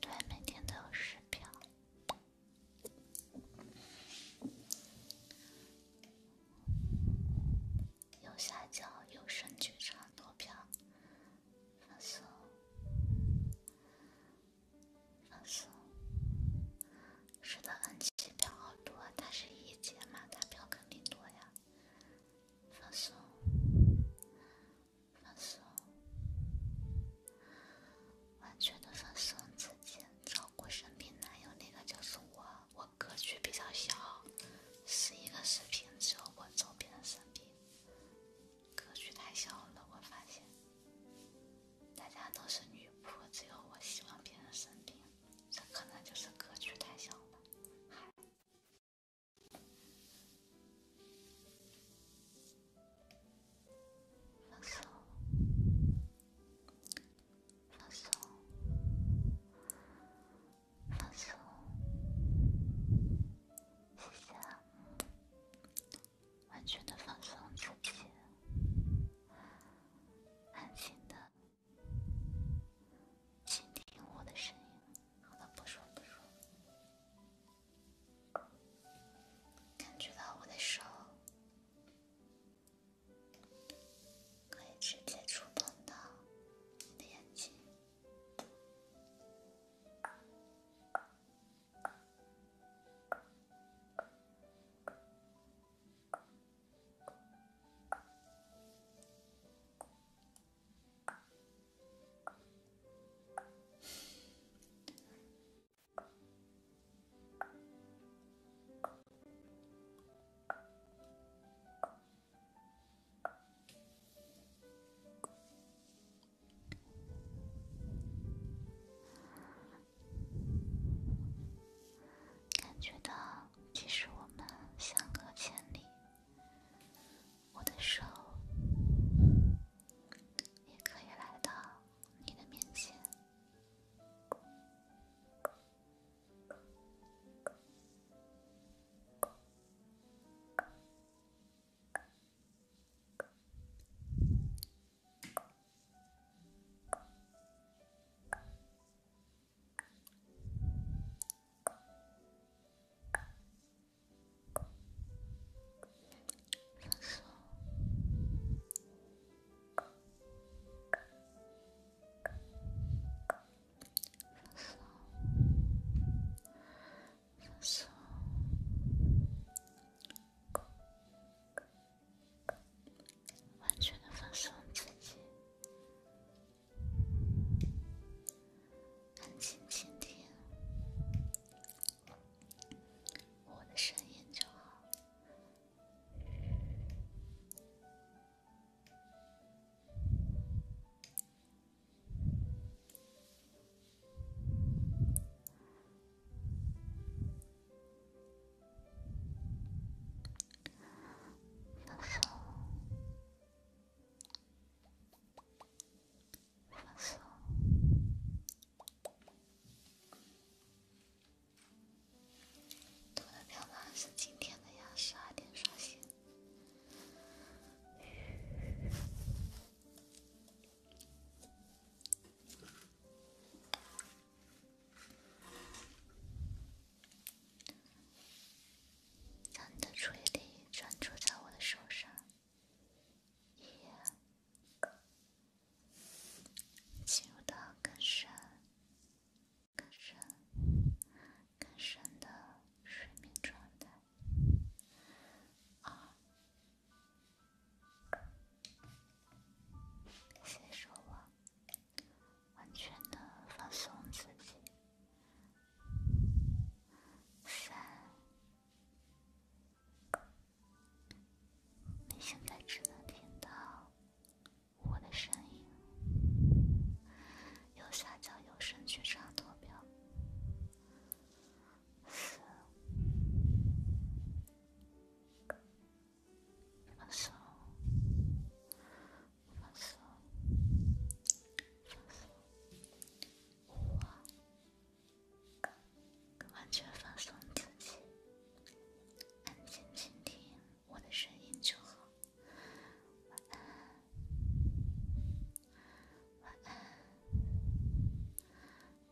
对，每天都有十票。右下角有声剧场多票，放松，放松。是的，N 七票好多，它是一节嘛，它票肯定多呀。放松。放松，完全的放松自己，照顾生病男友那个就是我。我格局比较小，十一个视频只有我照顾别人生病，格局太小了，我发现。大家都是女仆，只有我喜欢别人生病，这可能就是格局太小了。放松，放松，放松，谢谢啊，完全的放松自己，安静的倾听我的声音。好了，不说不说。感觉到我的手可以直接触碰到你的眼睛。感觉到，即使我们相隔千里。我的手也可以来到你的面前。放松，放松，放松，完全的放松自己。安静，倾听我的声音就好，小手。发布，都能聊到是今天的呀，十二点刷新。让你的注意力专注在我的手上，一个，进入到更深、更深、更深的睡眠状态，二，先收网，完全的放松自己。三，你现在只能听到我的声音。右下角有声剧长图标。四，放松，放松，放松。我完全放松自己，安静倾听我的声音就好。晚安，晚安，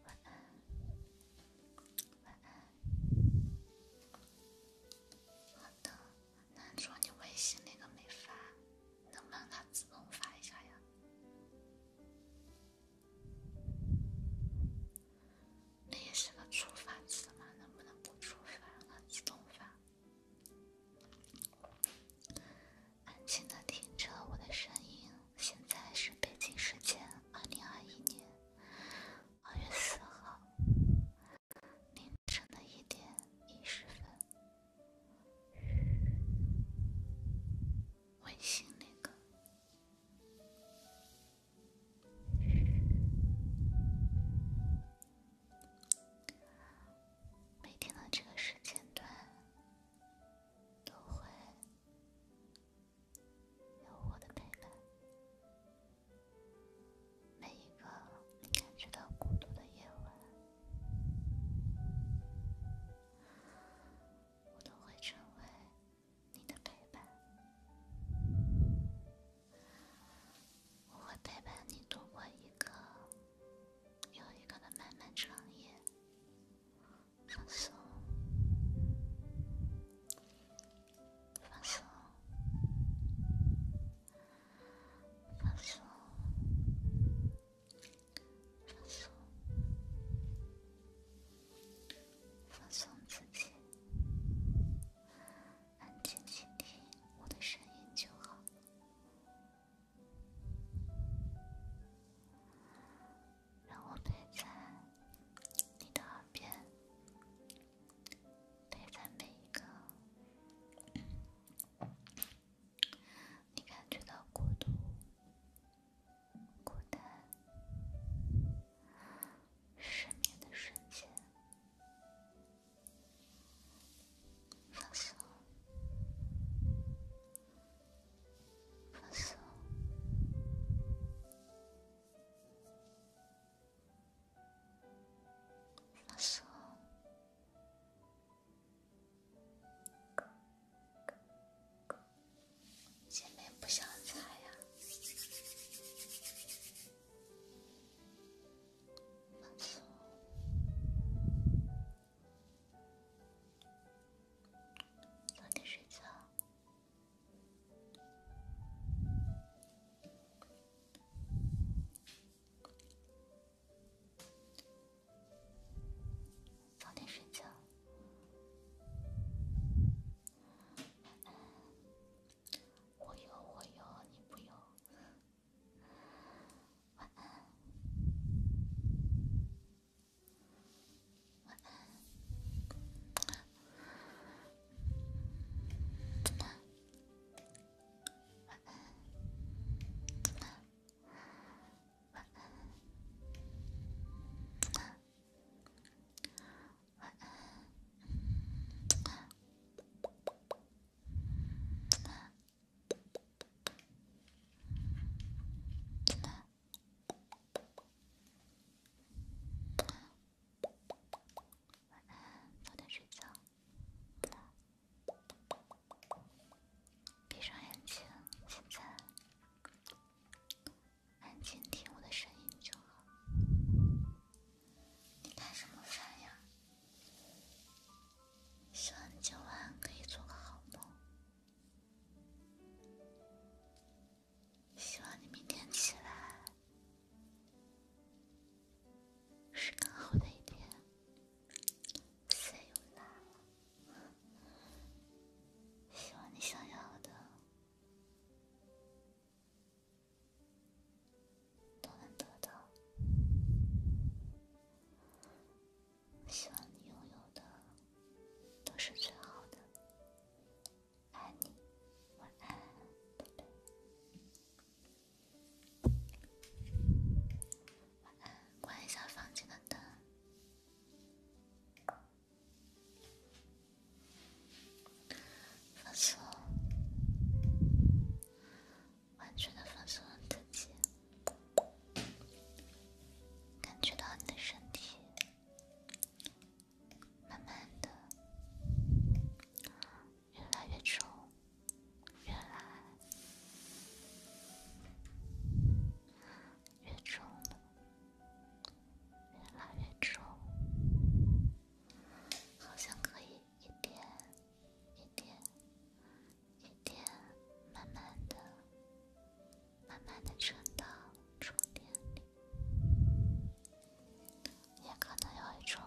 晚安，晚安。好的。那男主，你微信那个没发，能不能他自动发一下呀？那也是个触发词嘛，能不能不触发，让他自动发？安静的听着我的声音，现在是北京时间二零二一年二月四号凌晨的一点一十分。微信那个，每天的这个时间段都会有我的陪伴。每一个你感觉到孤独的夜晚。我都会成为你的陪伴，我会陪伴你度过一个又一个的漫漫长夜。放松，放松。放松，放松，放松自己，安静倾听我的声音就好。让我陪在你的耳边，陪在每一个。你感觉到孤独、孤单、失眠的瞬间，放松，放松，放松。前面不想猜啊，慢走，早点睡觉。早点睡觉，晚安。我有我有，你没有。晚安，晚安，晚安，晚安，睡觉。闭上眼睛，现在安静听我的声音就好。你干什么饭呀？希望你今晚可以做个好梦。希望你明天起来。是更好的一天，所以难了。希望你想要的都能得到，希望你拥有的都是最好的。爱你，晚安，拜拜。关一下房间的灯，放松，完全的放松了自己，感觉到你的身体，慢慢的。越来越重，越来越重越来越重，好像可以一点一点一点慢慢的、慢慢的沉到终点里，也可能有一种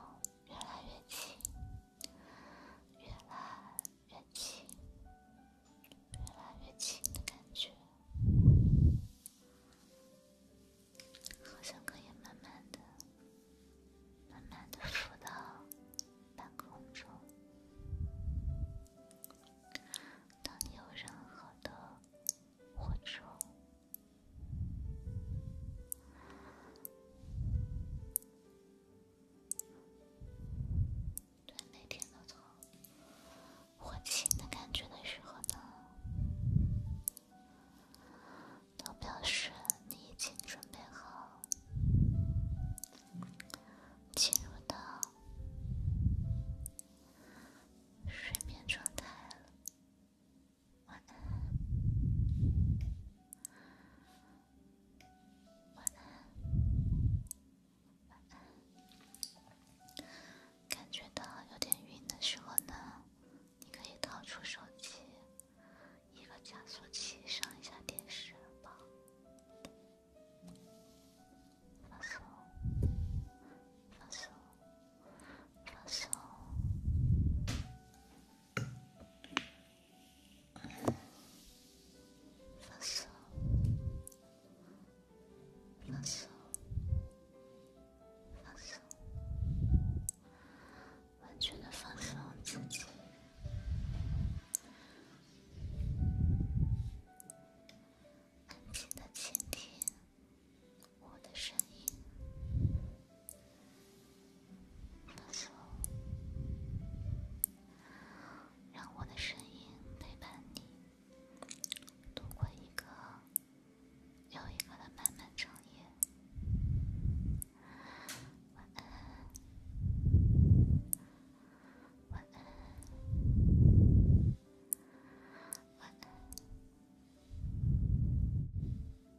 越来越近。越来越轻，越来越轻的感觉，好像可以慢慢的、慢慢的浮到半空中。当你有任何的或者……对，每天都从活起的感觉的时候呢，都表示你已经准备好进入到睡眠状态了。完。晚安，晚安。感觉到有点晕的时候呢，你可以掏出手机，一个加速器，上一下电视吧。放松，放松，放松。放松，放松，放松，完全的放松自己，安静的倾听我的声音。放松，让我的声音陪伴你度过一个又一个的漫漫长夜。晚安，晚安，晚安，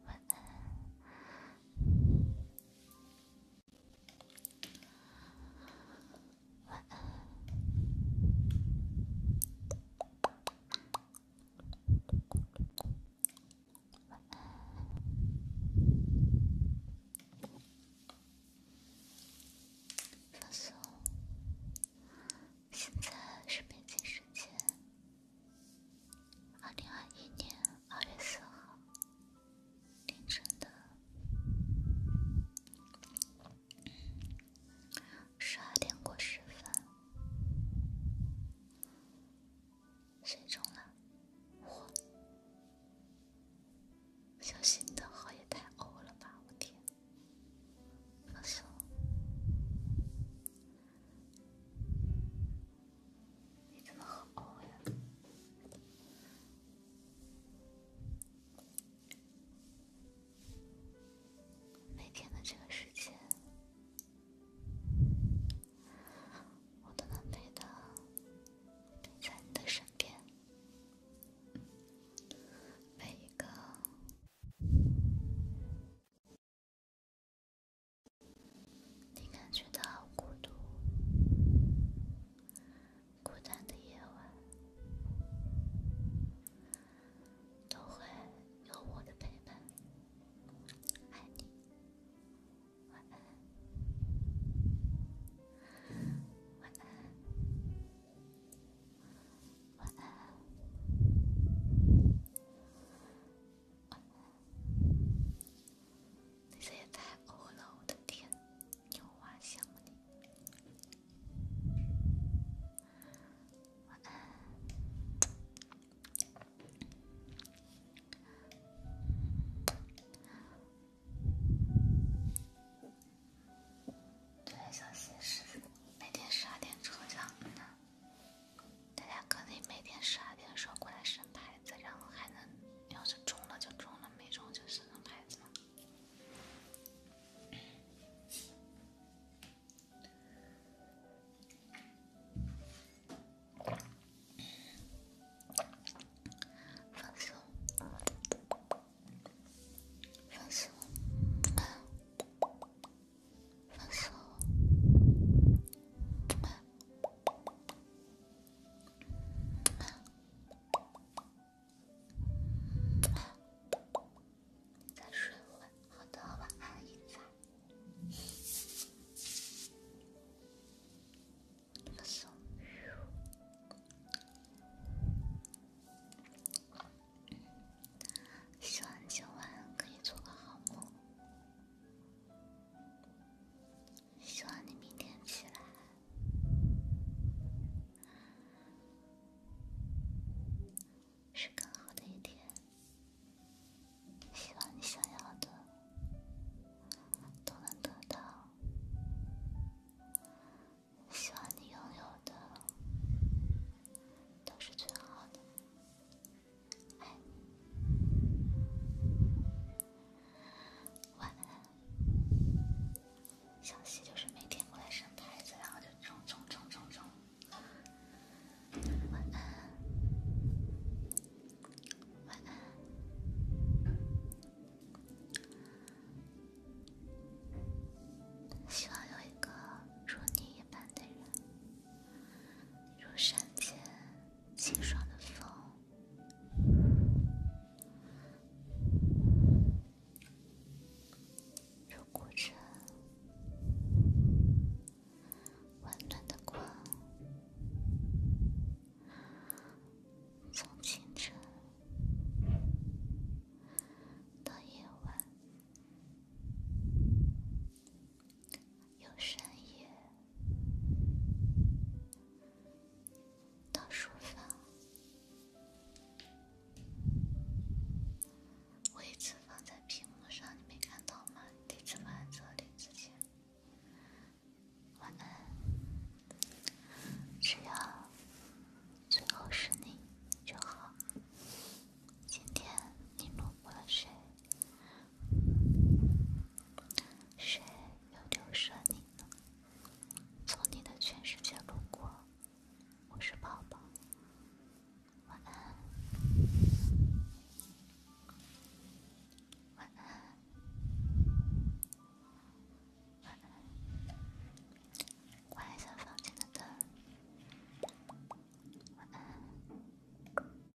晚安。晚安。放松。现在是北京时间，二零二一年。二月四号凌晨的十二点过十分，谁中了？哇！小新的号也太欧了吧！我天，放心了。每天的这个时间，我都能陪到陪在你的身边，每一个。你感觉到孤独，孤单的夜晚都会有我的陪伴，爱你，晚安，晚安，晚安。这也太欧了，我的天！牛娃羡慕你。对，小心是每天十二点抽奖。大家可能每天十二点的时候过来审牌子，然后还能要是中了就中了，没中就审牌子嘛。放松，放松，放松。再睡会，好的，晚安，一仔。晚安，希望今晚可以做个好梦。希望你明天起来是更好的一天。希望你想要的都能得到。希望你拥有的都是最好的。晚安，小西就是每天过来生孩子，然后就冲冲冲冲冲。晚安，晚安。希望有一个如你一般的人，如山间。清爽的风，如古城温暖的光，从清晨到夜晚。有深夜到书房，位置放在屏幕上，你没看到吗？第一次放这里之前，晚安。只要最后是你就好。今天你录过了谁？谁又丢失你呢？从你的全世界路过，我是宝宝。晚安，晚安，晚安。关一下房间的灯。晚安。